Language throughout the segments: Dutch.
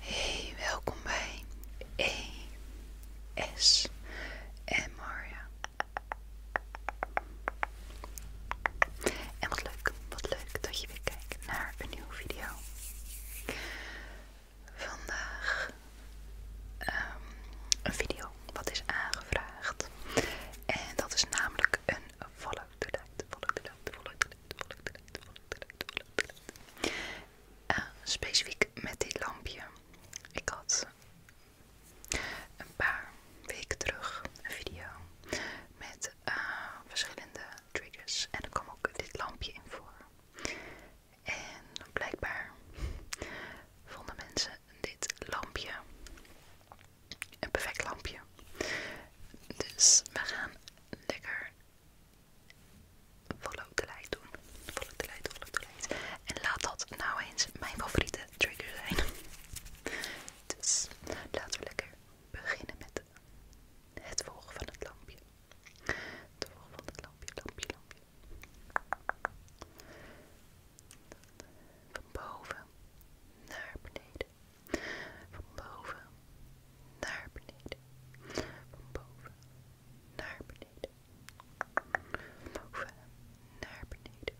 Hey, welkom bij ES en Maria. En wat leuk, wat leuk dat je weer kijkt naar een nieuwe video. Vandaag um, een video wat is aangevraagd. En dat is namelijk een follow up light, follow the light, follow the follow specifiek met dit lampje. Ik had een paar weken terug een video met eh, verschillende triggers en er kwam ook dit lampje in voor. En blijkbaar vonden mensen dit lampje. Een perfect lampje. Dus we gaan lekker follow the light doen. Follow the light, follow the light. En laat dat nou eens mijn favoriete trigger zijn. Dus laten we lekker beginnen met het volgen van het lampje. Het volgen van het lampje, lampje, lampje. Van boven naar beneden. Van boven naar beneden. Van boven naar beneden. Van boven naar beneden.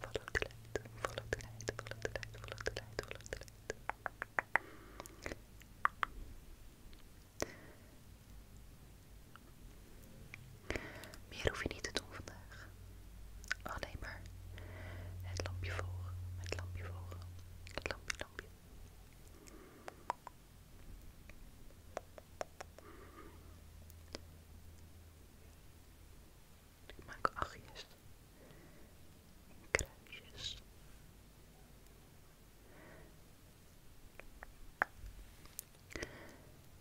volop de lijn, volop de lijn, volop de lijn, volop de lijn, volop de lijn. Meer hoef je niet te doen vandaag. Alleen maar het lampje volgen, het lampje volgen, het lampje, lampje. Ik maak achtjes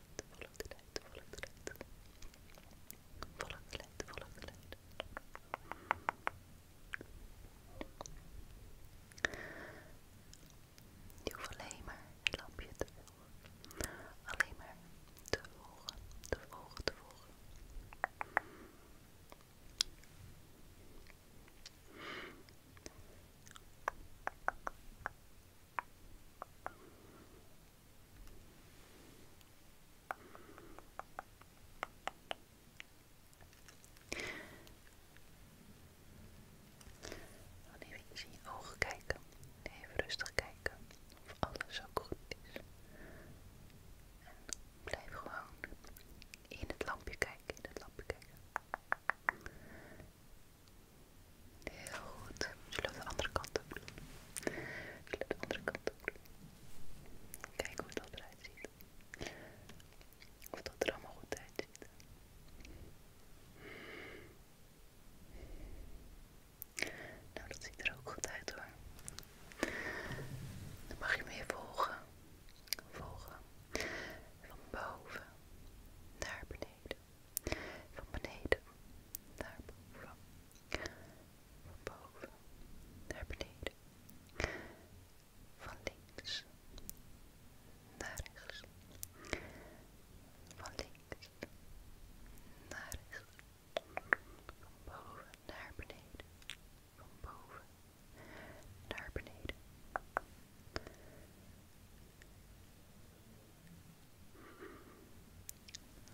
light, de light, volg de light. Volg de light, volg de maar het lampje te volgen. Alleen maar te volgen, te volgen, te volgen. Dan even eens in je ogen kijken. Even rustig kijken of alles zo goed is. En blijf gewoon in het lampje kijken, in het lampje kijken. Heel goed. Zullen we de andere kant op doen? de andere kant op doen? Kijken hoe dat eruit ziet. Of dat er allemaal goed uitziet. Nou, dat ziet er ook goed uit hoor. Dan mag je me weer volgen. Volgen. Van boven naar beneden. Van beneden naar boven. Van boven naar beneden. Van links naar rechts. Van links naar rechts. Van boven naar beneden. Van boven naar beneden.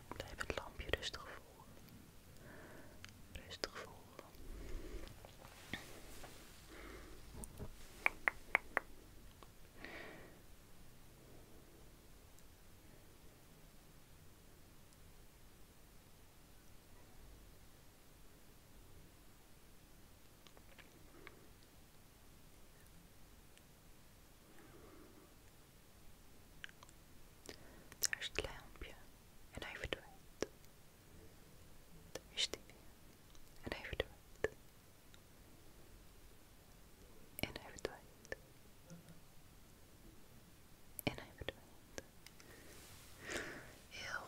Blijf het lampje rustig voelen. Rustig voelen. Er is het lampje en hij verdwijnt. Er is hij weer en hij verdwijnt. En hij verdwijnt. En hij verdwijnt. Heel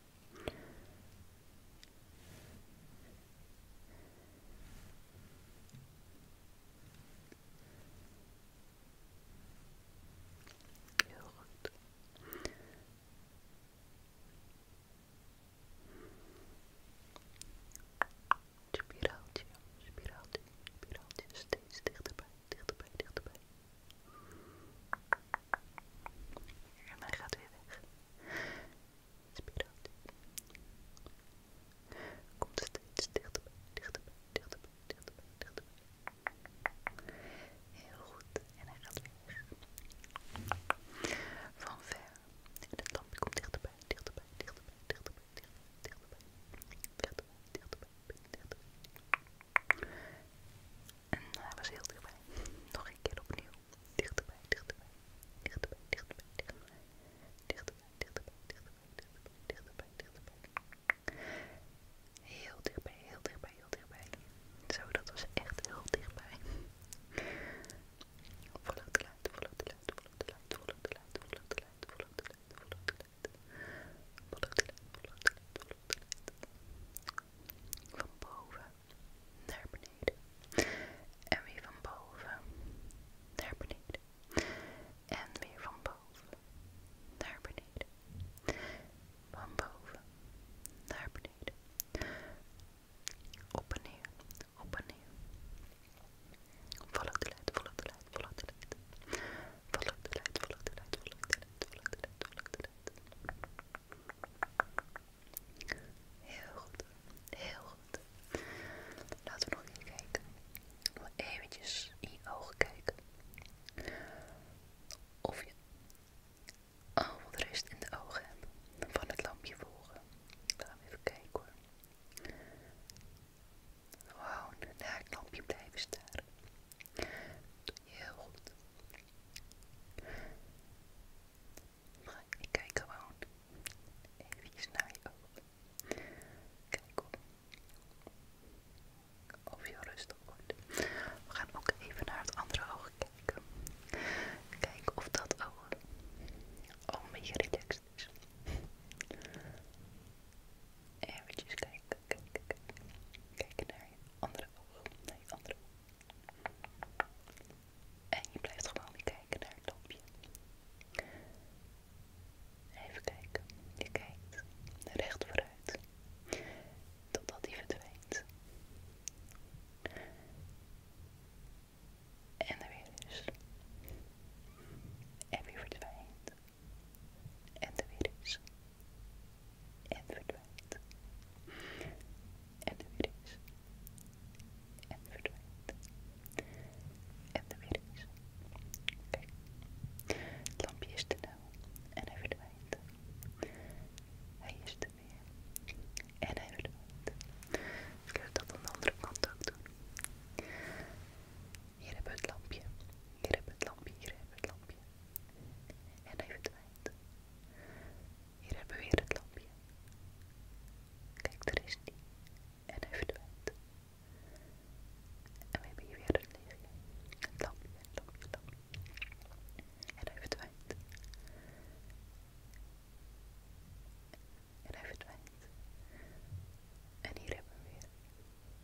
Heel goed. Spiraaltje, spiraaltje, spiraaltje, steeds dichterbij, dichterbij, dichterbij. En hij gaat weer weg. Spiraat. Komt steeds dichterbij, dichterbij, dichterbij, dichterbij, dichterbij. Heel goed. En hij gaat weer weg. Van ver. En het lampje komt dichterbij, dichterbij, dichterbij, dichterbij, dichterbij, dichterbij, dichterbij, dichterbij, dichterbij. En hij was heel dichtbij. Nog een keer opnieuw. Dichterbij, dichterbij, dichterbij, dichterbij, dichterbij. Dichterbij, dichterbij, dichterbij, dichterbij, dichterbij, dichterbij. Heel dichtbij, heel dichtbij, heel dichtbij. Zo, dat was echt heel dichtbij. Volg de luid, volg de luid, volg de luid, volg de luid, volg de luid, volg de luid, volg de luid. Volg de luid, volg de luid, volop de luid van boven naar beneden en weer van boven naar beneden en weer van boven naar beneden van boven naar beneden op en neer, op en neer volg de lijn, volg de lijn, volg de lijn volg de lijn, volg de lijn, volg de de de Heel goed. Heel goed. Laten we nog even kijken. Nog eventjes in je ogen kijken. Of je al wat rust in de ogen hebt van het lampje volgen. Laten we even kijken hoor. Gewoon naar het lampje blijven staren. Doe heel goed. Maar ik kijk gewoon even naar je ogen. Kijk Of je rustig wordt. We gaan ook even naar het andere oog kijken. Kijk of dat oog al een beetje relaxed is. Eventjes kijken. Kijk naar je andere oog. Naar je andere oog. En je blijft gewoon weer kijken naar het lampje. Even kijken. Je kijkt recht vooruit. Totdat hij verdwijnt. En er weer is. En weer verdwijnt. En er weer is. En verdwijnt. En er weer is. En verdwijnt. En er weer is. Kijk. Het lampje is te nauw. En hij verdwijnt. Hij is de weer. En hij verdwijnt. Zullen we dat aan de andere kant ook doen? Hier hebben we het lampje. Hier hebben we het lampje. Hier hebben we het lampje. En hij verdwijnt. Hier hebben we weer het lampje. Kijk, er is die. En hij verdwijnt. En we hebben hier weer het lichtje. Het lampje, het lampje, het lampje. En hij verdwijnt. En hij verdwijnt. En hier hebben we weer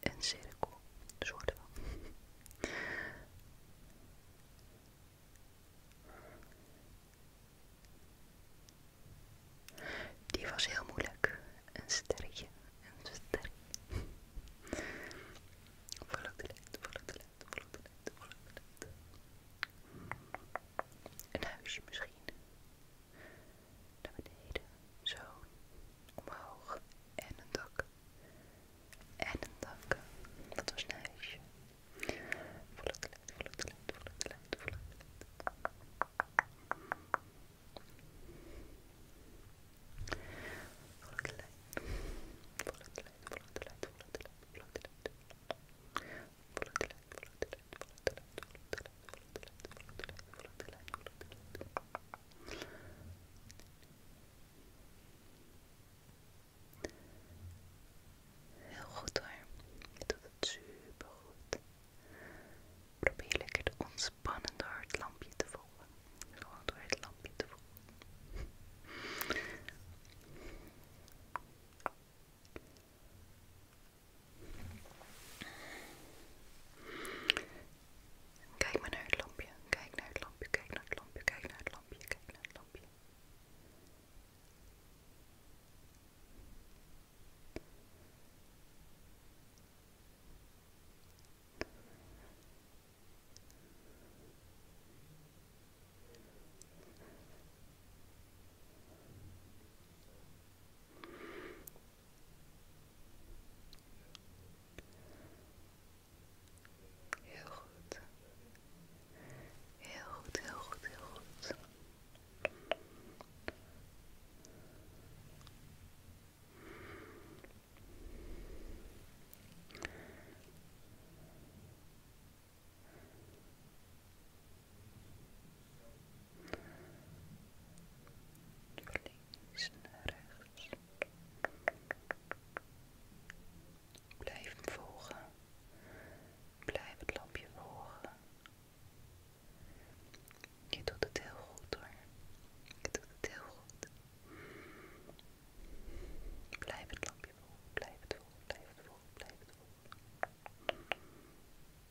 Een cirkel, een soort Die was heel moeilijk. Een sterretje, een sterretje. Volg de lente, volg de lente, volg de lente, de lente. Een huisje misschien naar beneden, zo, omhoog en een dak. En een dak, wat was een huisje. Voel het geluid, voel het geluid, voel het geluid, voel het Voel het geluid, voel het geluid, voel het geluid, voel het geluid, voel het geluid. Voel het geluid, voel Heel goed hoor. Je doet het super goed. Probeer lekker te ontspannen door het lampje te volgen. Gewoon door het lampje te volgen. Kijk maar naar het lampje. Kijk naar het lampje. Kijk naar het lampje. Kijk naar het lampje. Kijk naar het lampje. Heel goed. Heel goed, heel goed, heel goed links naar rechts. Blijf hem volgen. Blijf het lampje volgen. Je doet het heel goed hoor. Je doet het heel goed. Blijf het lampje volgen. Blijf het volgen. Blijf het volgen. Blijf het volgen.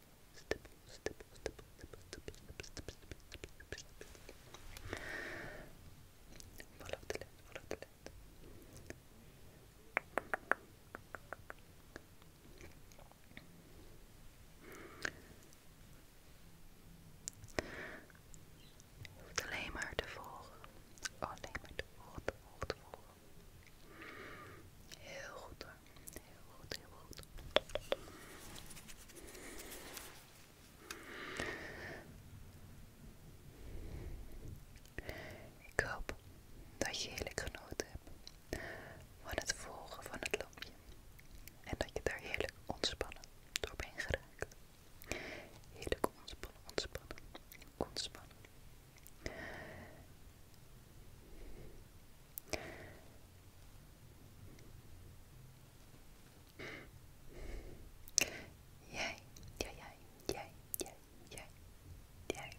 Volg het volg alleen maar te volgen. Alleen maar te volgen, Heel goed Heel goed, heel goed. Ik hoop dat je heerlijk genoten hebt van het volgen van het lampje. En dat je daar heerlijk ontspannen door bent geraakt. Heerlijk ontspannen, ontspannen, ontspannen. Jij, jij, jij, jij, jij, jij,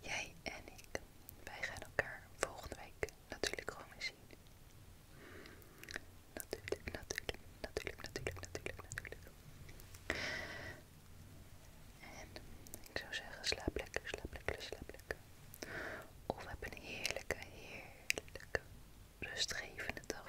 jij, en ik, wij gaan elkaar volgende week natuurlijk gewoon weer zien. Natuurlijk, natuurlijk, natuurlijk, natuurlijk, natuurlijk, natuurlijk. En ik zou zeggen, slaap lekker, slaap lekker, slaap lekker. Of heb een heerlijke, heerlijke, rustgevende dag